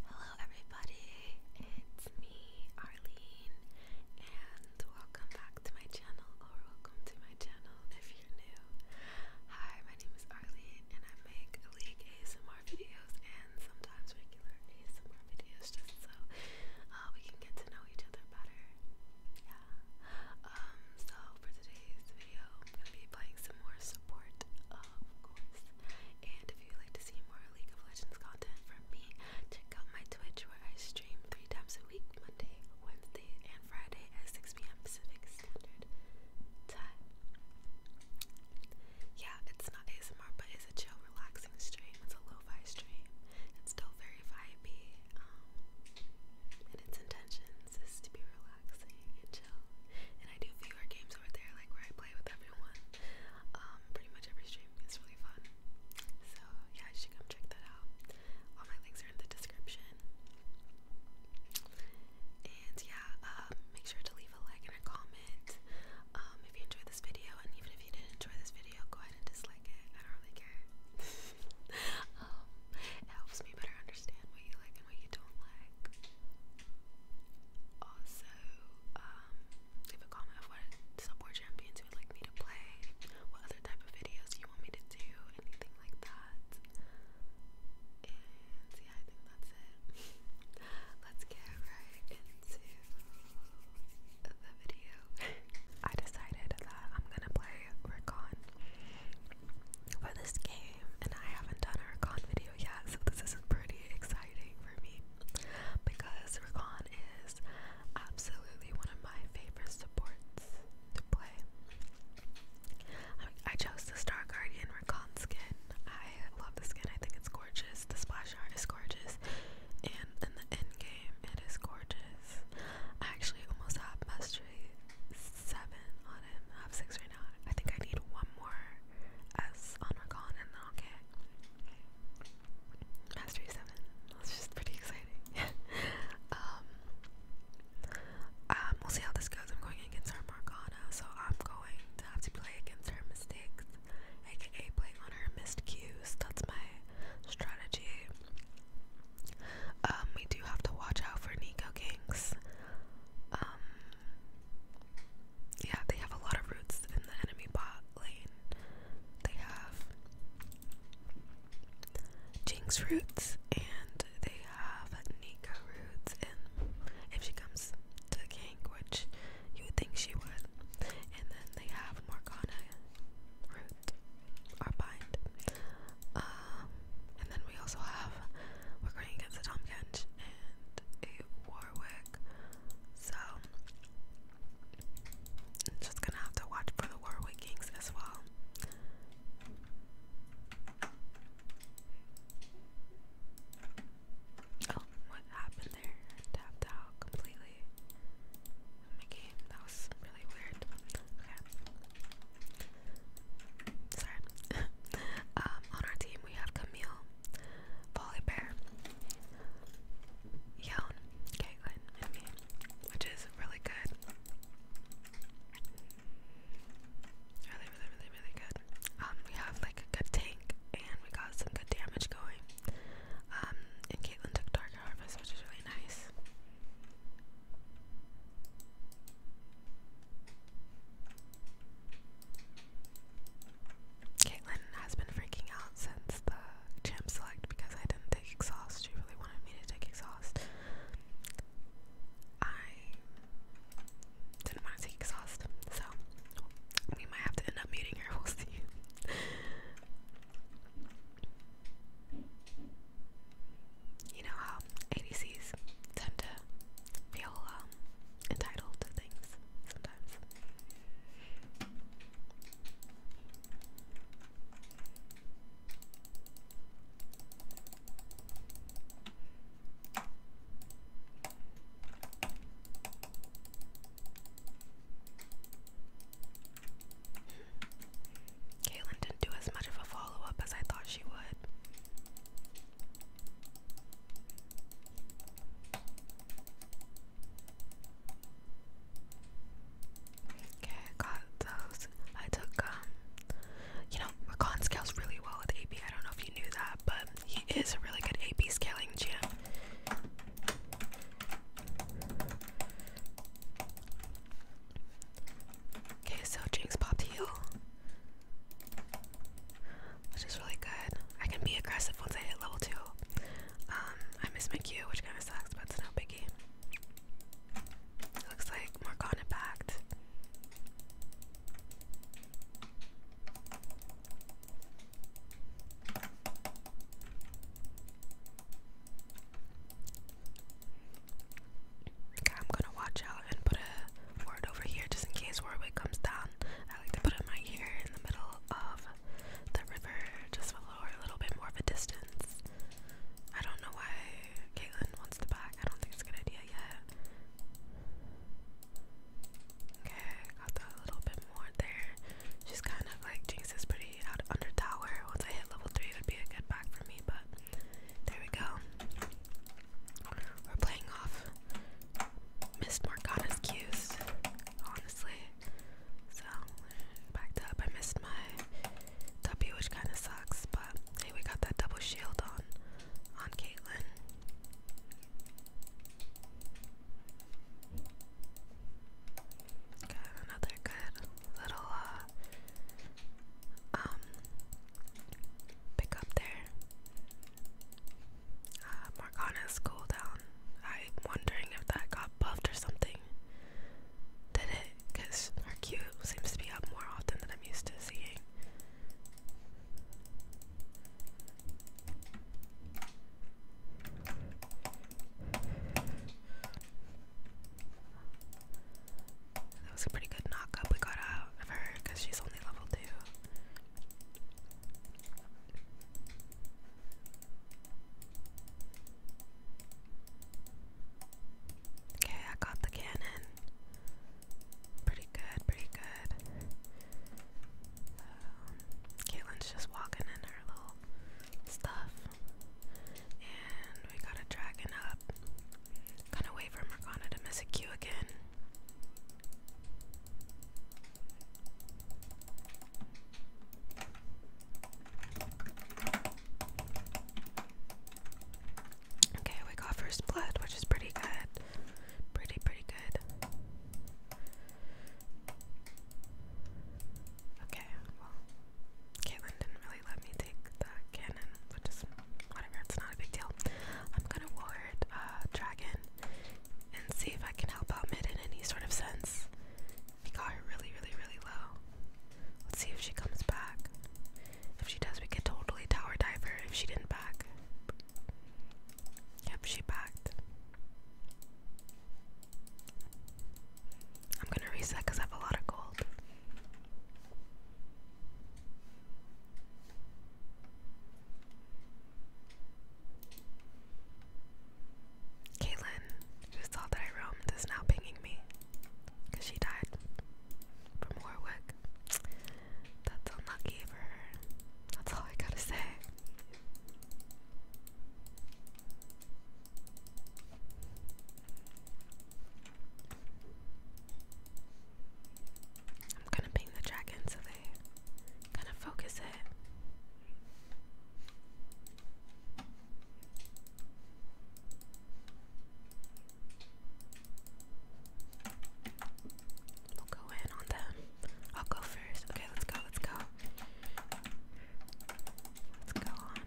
Hello, everybody, it's me, Arlene, and welcome back to my channel, or welcome to my channel if you're new. Hi, my name is Arlene, and I make League ASMR videos and sometimes regular ASMR videos just so uh, we can get to know each other better. Yeah. Um, so for today's video, I'm gonna be playing some more support, of course. And if you'd like to see more League of Legends content from me, check out my Twitch where I stream three times a week Monday, Wednesday, and Friday at 6 p.m. Pacific Standard Time. Yeah, it's not ASMR, but it's a chill, relaxing stream. It's a lo fi stream. It's still very vibey. Um, and its intentions is to be relaxing and chill. And I do viewer games over I play with everyone. Um, pretty much every stream. is really fun. So yeah, you should come check that out. All my links are in the description. And yeah, um, make sure to leave a like and a comment. Um, if you enjoyed this video, and even if you didn't enjoy this video, go ahead and dislike it. I don't really care. it helps me better understand what you like what you don't like. Also, um, leave a comment of what support champions you would like me to play, what other type of videos you want me to do, anything like that. yeah, I think that's it. Let's get right into the video. I decided that I'm gonna play Recon for this game, and I haven't done a Recon video video so this is pretty exciting for me because Rakan is absolutely one of my favorite supports to play. I, chose the Star Guardian Rakan skin. I love the skin, I think it's gorgeous. The splash art is gorgeous, and in the end game, it is gorgeous. I actually almost have mastery seven on him. I have six right now. I think I need one more S on and then Mastery 7. That's just pretty exciting. Um, um, we'll see how this goes. I'm going against her Marcana, so I'm going to have to play against her mistakes, aka playing on her missed cues. That's my strategy. Um, we do have to watch out for Nico Ganks. Um, yeah, they have a lot of roots in the enemy bot lane. They have Jinx roots and they have Nika roots and if she comes to King, which you would think she would. And then they have Morgana root or bind. Um, and then we also have we're going against the Tomkins and a Warwick. So just gonna have to watch for the Warwick Kings as well. Oh, what happened there? I tapped out completely my game. That was really weird. Okay. Sorry. um, on our team, we have Camille, Volibear, Yeon, Caitlyn, and me, which is really good. Really, really, really, really good. Um, we have like a good tank, and we got some good damage going. Um, and Caitlyn took Target Harvest, which is really nice. Caitlyn has been freaking out since the champ select because I didn't take exhaust. She really wanted me to take exhaust. I didn't want to take exhaust, so we might have to end up meeting her. We'll see. You know how ADCs tend to feel um, entitled to things sometimes. Caitlin didn't do as much of a follow up as I thought she would. Okay, I got those. I took um you know, Rakan scales really well with AP. I don't know if you knew that, but he is a really good AP scaling champ. Okay, so Jinx popped heal which is really good. I can be aggressive once I hit level 2. Um, I miss my Q, which kind of sucks, but it's no biggie. looks like more Morgana packed. I'm gonna watch out and put a word over here just in case Warwick comes down. I like to put him right here in the middle of the river, just for a little bit more of a distance. I don't know why Caitlyn wants the back. I don't think it's a good idea yet. Okay, got a little bit more there. She's kind of like Jinx is pretty out under tower. Once I hit level three, it'd be a good back for me, but there we go. We're playing off Miss Morgana's cues, honestly. So, backed up. I missed my W, which kind of sucks, but hey, we got that double shield on, on Caitlyn. Got another good little, uh, um, pick up there. Uh, Morgana's cooldown. I'm wondering if that got buffed or something. Did it? Because our Q seems to be up more often than I'm used to seeing. That was a pretty good knock up. we got out of her because she's only level two. Okay, I got the cannon. Pretty good, pretty good. Um, Caitlin's just walking in her little stuff. And we got a dragon up. Gonna wait for Morgana to miss a Q again. Okay, we got first blood, which is pretty good. Pretty, pretty good. Okay, well, Caitlin didn't really let me take the cannon, which is whatever, it's not a big deal. I'm gonna ward uh, Dragon and see if I can help out mid in any sort of sense. We got her really, really, really low. Let's see if she comes back. If she does, we can totally tower dive her if she didn't back. Yep, she backed. I'm gonna reset I have a lot of gold. Caitlin, who saw that I roamed, is now pinging me she died from Warwick. That's unlucky for her. That's all I gotta say. I'm gonna paint the dragon so they kind focus it. We'll go in on them. I'll go first. Okay, let's go, let's go. Let's go on.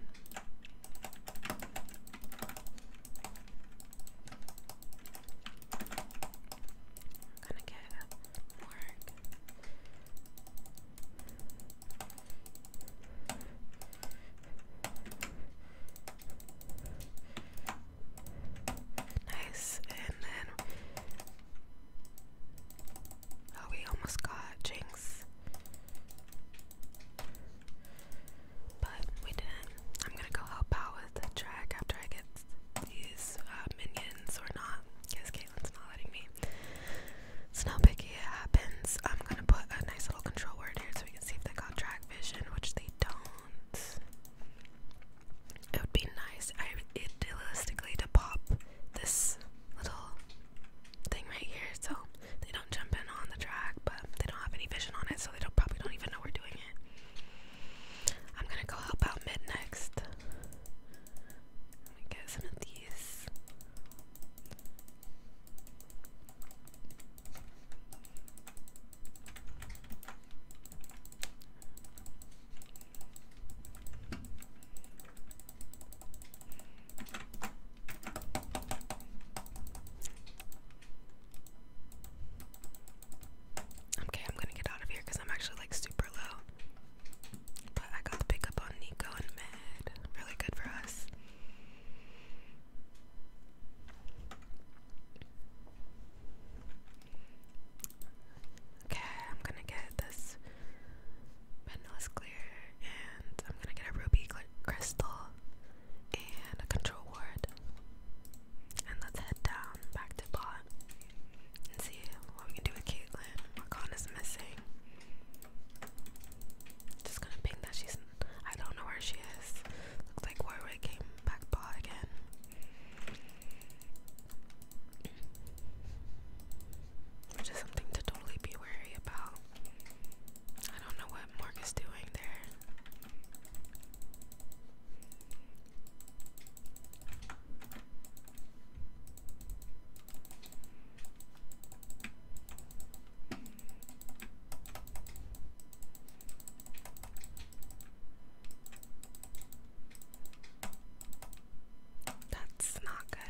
We're gonna get a Nice, and then oh, we almost got Jinx but we didn't. I'm gonna go help out with the track after I get these uh, minions or not, because Caitlin's not letting me. It's not picky, it happens. I'm gonna put a nice little control word here so we can see if they got track vision, which they don't. It would be nice, idealistically, to pop this little thing right here so they don't jump in on the track, but they don't have any vision on it, so they probably don't even know we're doing I'm gonna go help out mid next. Let me get some of these. Okay, I'm gonna get out of here because I'm actually like super low. But I got the pickup on Nico and Med. Really good for us. Okay, I'm gonna get this Vanilla clear and I'm gonna get a ruby crystal and a control word. And let's head down back to bot and see what we can do with Caitlyn. Rakan is missing. Just gonna ping that she's. I don't know where she is. Looks like Warwick came back bot again. Which is something to totally be wary about. I don't know what what Morg is doing there. That's not good.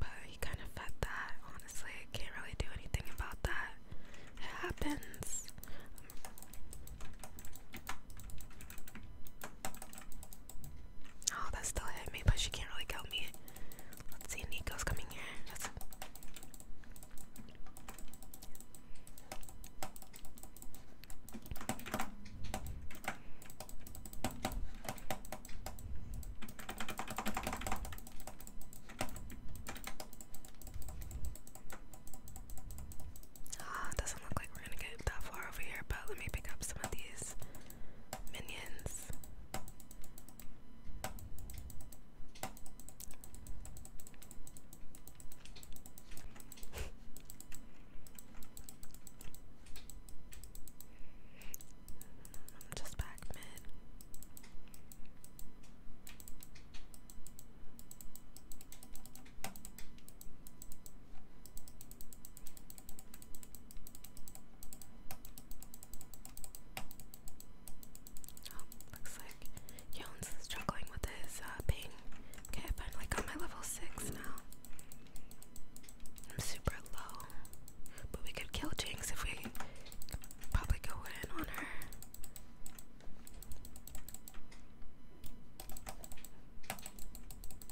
But he kind of fed that, honestly. I can't really do anything about that. It happens. Oh, that still hit me, but she can't really kill me. Let's see, Nico's coming here. Ah, doesn't look like we're gonna get that far over here, but let me pick up some of these minions. I'm just back mid. Oh, looks like Yone's struggling with his uh, ping. Okay, I finally got my level 6 now. I'm super low. But we could kill Jinx if we probably go in on her.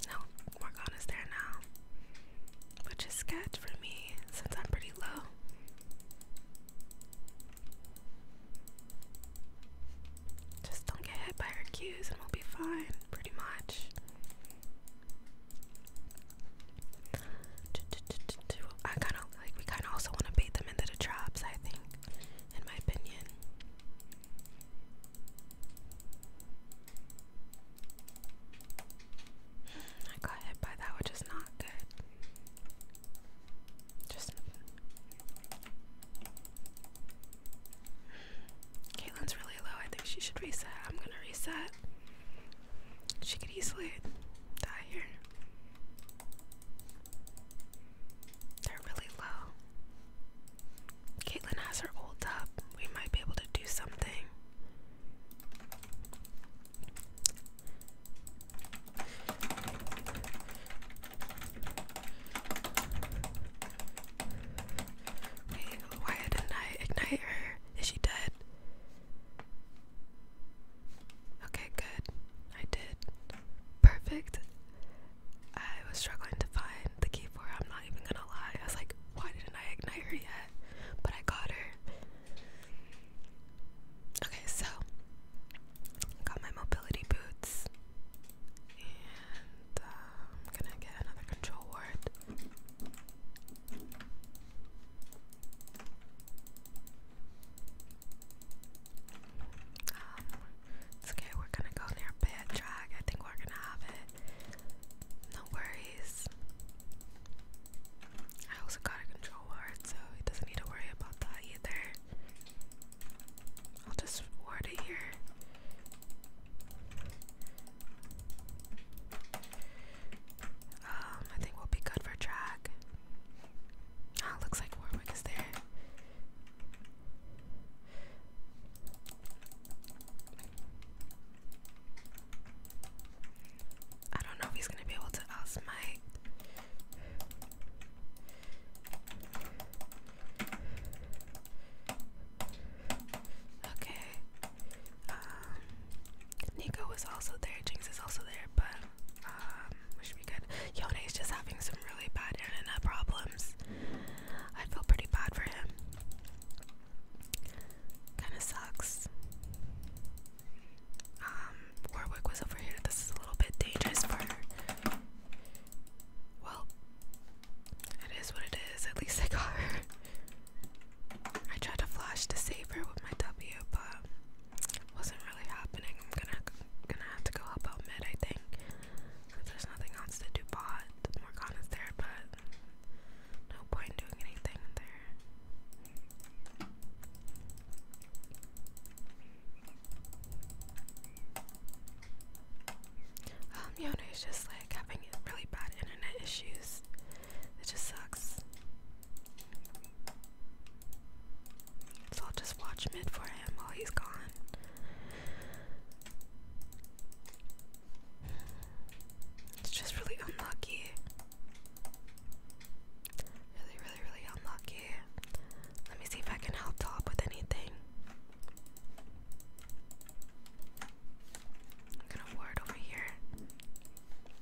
No, Morgana's there now. Which is sketch for me since I'm pretty low. Just don't get hit by her cues and we'll be fine, pretty much. I kind of like we kind of also want to bait them into traps. I think, in my opinion. I got hit by that, which is not good. Just Caitlin's really low. I think she should reset. I'm gonna reset. She could easily die here. They're really low. Caitlyn has her ult up. We might be able to do something. why didn't I ignite her? Is she dead? Okay, good. I did. Perfect. I was struggling to find the key for her. I'm not even gonna lie. I was like, why didn't I ignite her yet? But I got her. Okay, so got my mobility boots. And I'm um, gonna get another control ward. Um, okay, we're gonna go near bed drag. I think we're gonna have it. No worries. I also got a control ward, so he doesn't need to worry about that either. I'll just ward it here. Um, I think we'll be good for track. Ah, looks like Warwick is there. I don't know if he's gonna be able to outsmite. Okay. Um, Nico is also there, Jinx is also there, but um, we should be good. Yone's just having some really bad internet problems. I feel pretty bad for him. Kinda sucks. Um, Warwick was over here. This is a little bit dangerous for her. Well, it is what it is. At least I got her. I tried to flash the saver with my W, but wasn't really happening. I'm gonna gonna have to go help out mid, I think. There's nothing else to do. Bot Morgana's there, but no point in doing anything there. Um, Yona is just like having really bad internet issues. It just sucks. So I'll just watch mid for him while he's gone. It's just really unlucky. Really, really, really unlucky. Let me see if I can help top with anything. I'm gonna ward over here.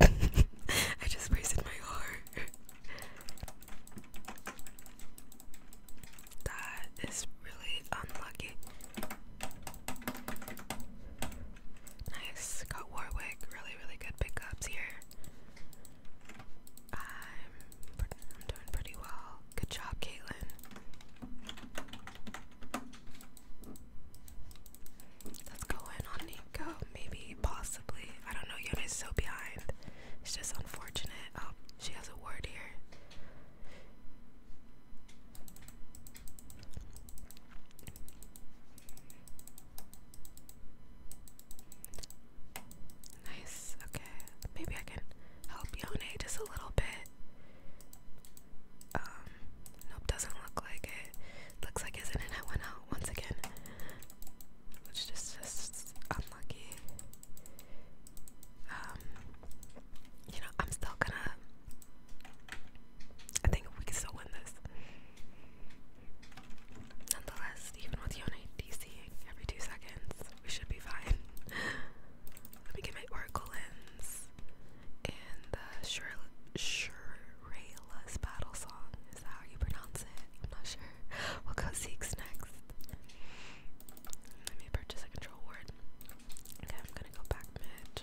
I just wasted my heart. that is really unlucky. Nice. Got Warwick. Really, really good pickups here. I'm, I'm doing pretty well. Good job, Caitlin. Let's go in on Nico. Maybe, possibly. I don't know. is so behind. It's just unfortunate. Oh, she has a ward here. Nice, okay. Maybe I can help Yone just a little bit. Um, nope, doesn't look like it. Looks like his internet went out once again. Which is just unlucky. Um, you know, I'm still gonna. I think we can still win this. Nonetheless, even with Yone DC every two seconds, we should be fine. Let me get my Oracle lens and the Shirela's Battle Song. Is that how you pronounce it? I'm not sure. We'll go Zeeks next. Let me purchase a control ward. Okay, I'm gonna go back mid.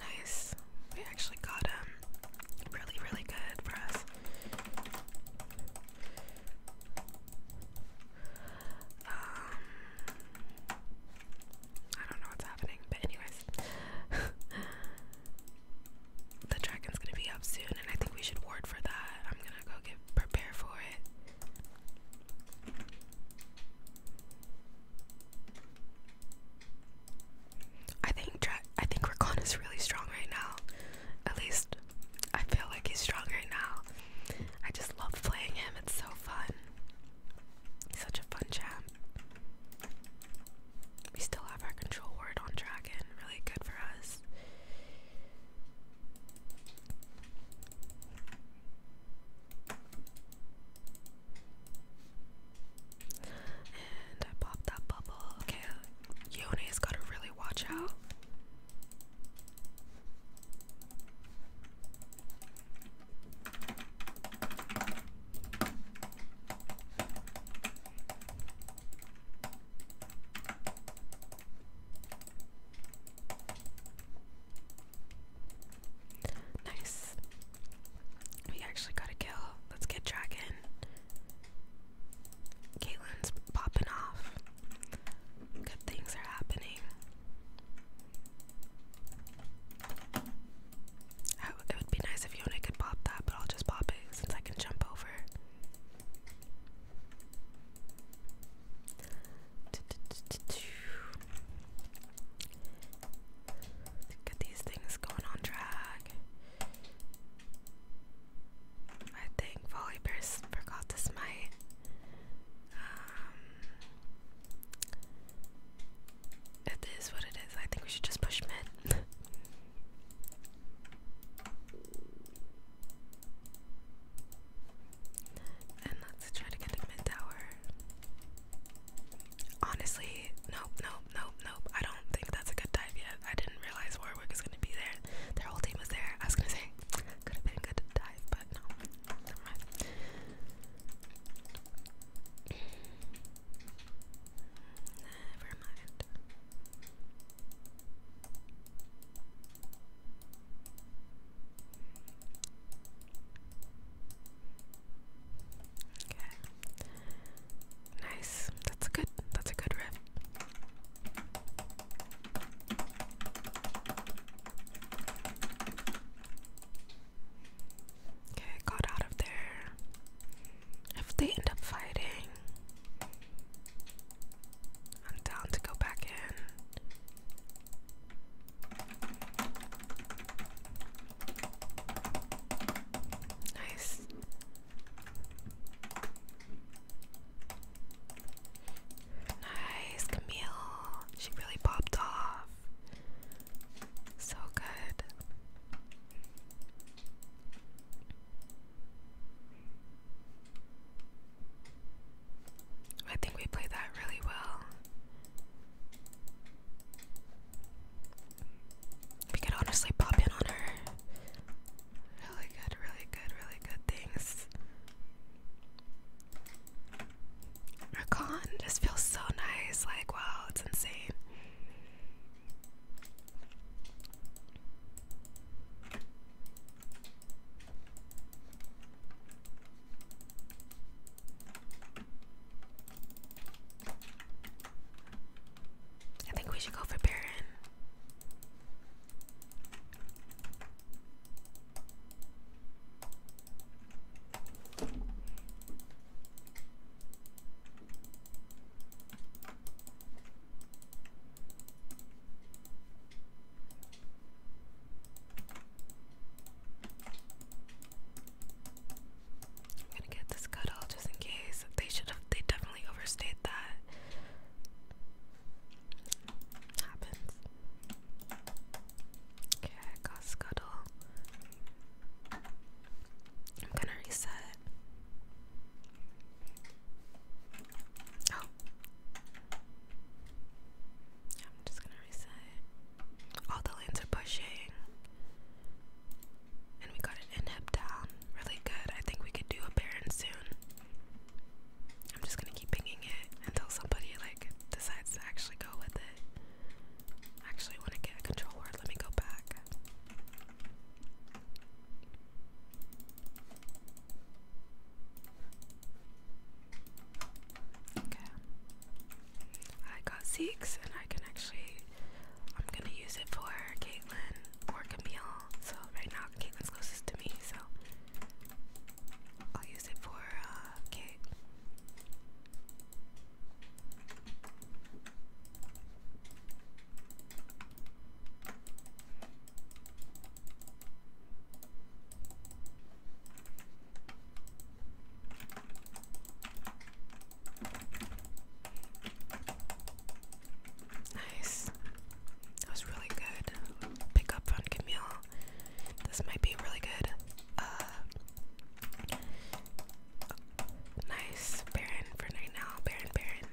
Nice. We actually got him. Um, really, really good for us. Um, I don't know what's happening, but anyways. the dragon's gonna be up soon, and I think we should ward for that. I'm gonna go get prepare for it. I think dra I think Rakan is really strong right now. At least I feel like he's strong right now. I just love playing him. It's so fun. He's such a fun chap. We still have our control word on Dragon, really good for us. And I popped that bubble. Okay, Yone's gotta really watch out. Nice. We actually got a kill. Let's get Dragon. Caitlin's popping off. Good things are happening. I, oh, it would be nice if Yona could pop that, but I'll just pop it since I can jump over. Get these things going on drag. I think Volleyburst forgot to smite. Um, it is what it is. I think we should just push mid. and let's try to get the mid tower. Honestly, nope, nope, nope, nope. I don't think that's a good dive yet. I didn't realize Warwick is gonna be there. Their whole team was there. I was gonna say could have been a good dive, but no. Never mind. Okay. Nice. That's a good that's a good riff. Okay, got out of there. If they end up fighting, I'm down to go back in. Nice. Nice, Camille. She really popped off. So good. I think we played that really well. We could honestly pop in on her. Really good, really good, really good things. Rakan just feels so nice. Like, wow, it's insane. I think we should go for Baron. I'm gonna get this cut off just in case. They should have they definitely overstayed that. Happens. Okay, I got Scuttle. I'm gonna reset. Oh. Yeah, I'm just gonna reset. All the lanes are pushing. And we got an inhib down. Really good. I think we could do a Baron soon. I'm just gonna keep pinging it until somebody like decides to actually go with it. Actually, when I get a control word, let me go back. Okay. I got Zeeks, and I can actually. I'm gonna use it for Caitlyn or Camille. So, right now, Caitlyn's closest to me, so. I'll use it for uh, Nice. That was really good. Pick up on Camille. This might be really good uh, nice Baron for right now. Baron, Baron.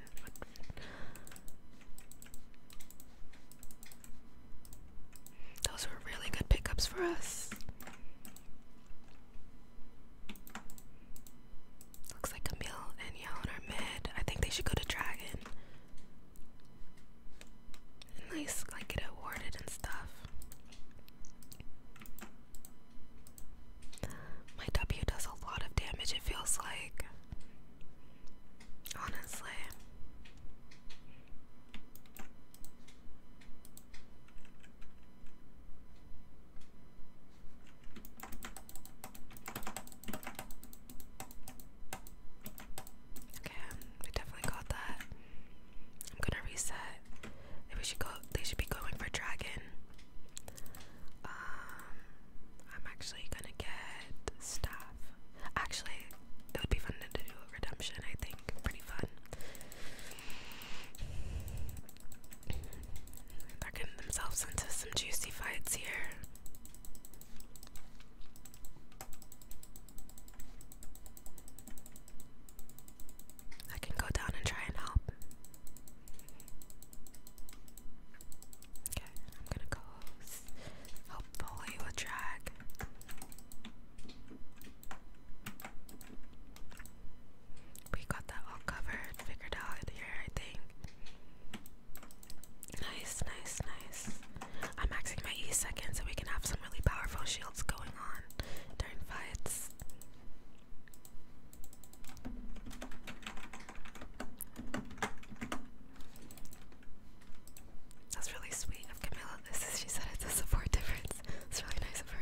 Those were really good pickups for us. Looks like Camille and Yao in mid. I think they should go to Dragon and I like get awarded and stuff. My W does a lot of damage, it feels like. Honestly. Okay, definitely got that. I'm gonna reset. Maybe should go. They should be going for dragon. Um, I'm actually gonna get staff. Actually, it would be fun to do redemption. I think pretty fun. They're getting themselves into some juicy fights here. I can go down and try and help. Okay, I'm gonna go. Hopefully, we'll drag. We got that all covered, figured out here, I think. Nice, nice, nice. I'm maxing my E second so we can have some really powerful shield else going on during fights. That's really sweet of Camilla. This is, she said it's a support difference. It's really nice of her.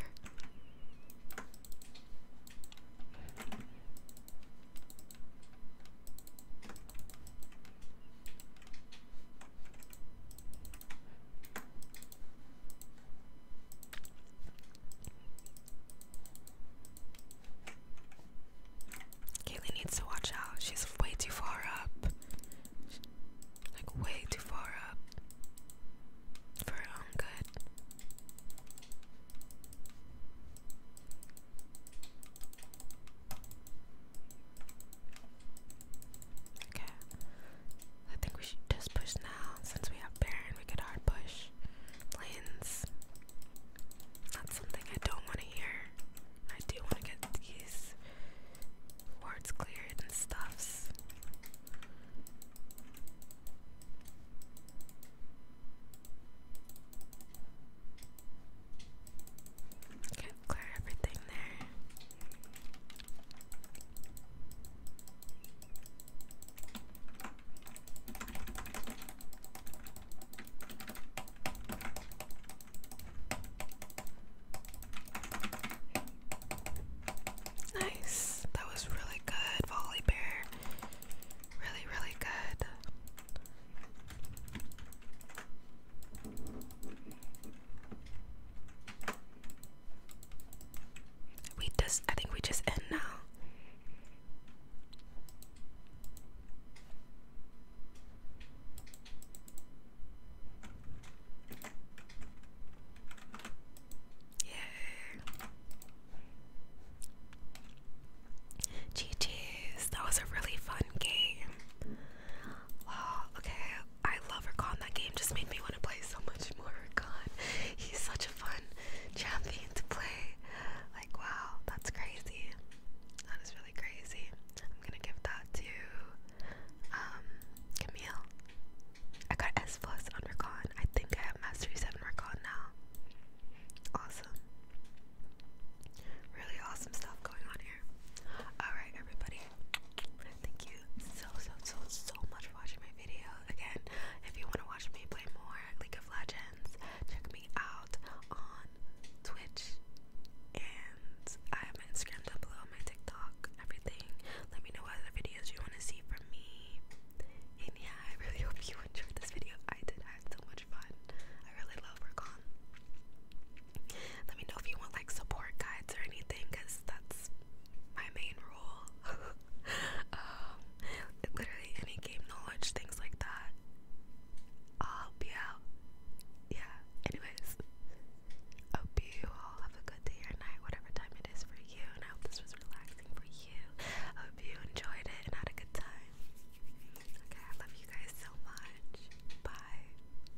Kaylee needs to watch out. She's way too far up. Like, way too far up. For her own good. Okay. I think we should just push now. Since we have Baron, we could hard push. Lanes. That's something I don't want to hear. I do want to get these wards cleared and stuffs. Okay, clear everything there. Nice. That was really good, Volley Bear. Really, really good. We just, I think we just end now. Yeah. GG's, that was a really fun game. Wow, okay, I love Rakan. That game just made me want to play so much more Rakan. He's such a fun champion to play. Like, wow, that's crazy. That is really crazy. I'm gonna give that to um, Camille. I got S plus on Rakan. I think I have Mastery 7 Rakan now. Awesome. Really awesome stuff going on Alright, everybody. Thank you so, so, so, so much for watching my video. Again, if you want to watch me play more League of Legends, check me out on Twitch. And I have my Instagram down below, my TikTok, everything. Let me know what other videos you want to see from me. And yeah, I really hope you enjoyed this video. I did. I had so much fun. I really love Recon. Let me know if you want like support guides or anything, cause that's my main rule. Um, literally any game knowledge, things like that. I'll be out. Yeah. Anyways, I hope you all have a good day or night, whatever time it is for you. And I hope this was relaxing for you. I hope you enjoyed it and had a good time. Okay, I love you guys so much. Bye.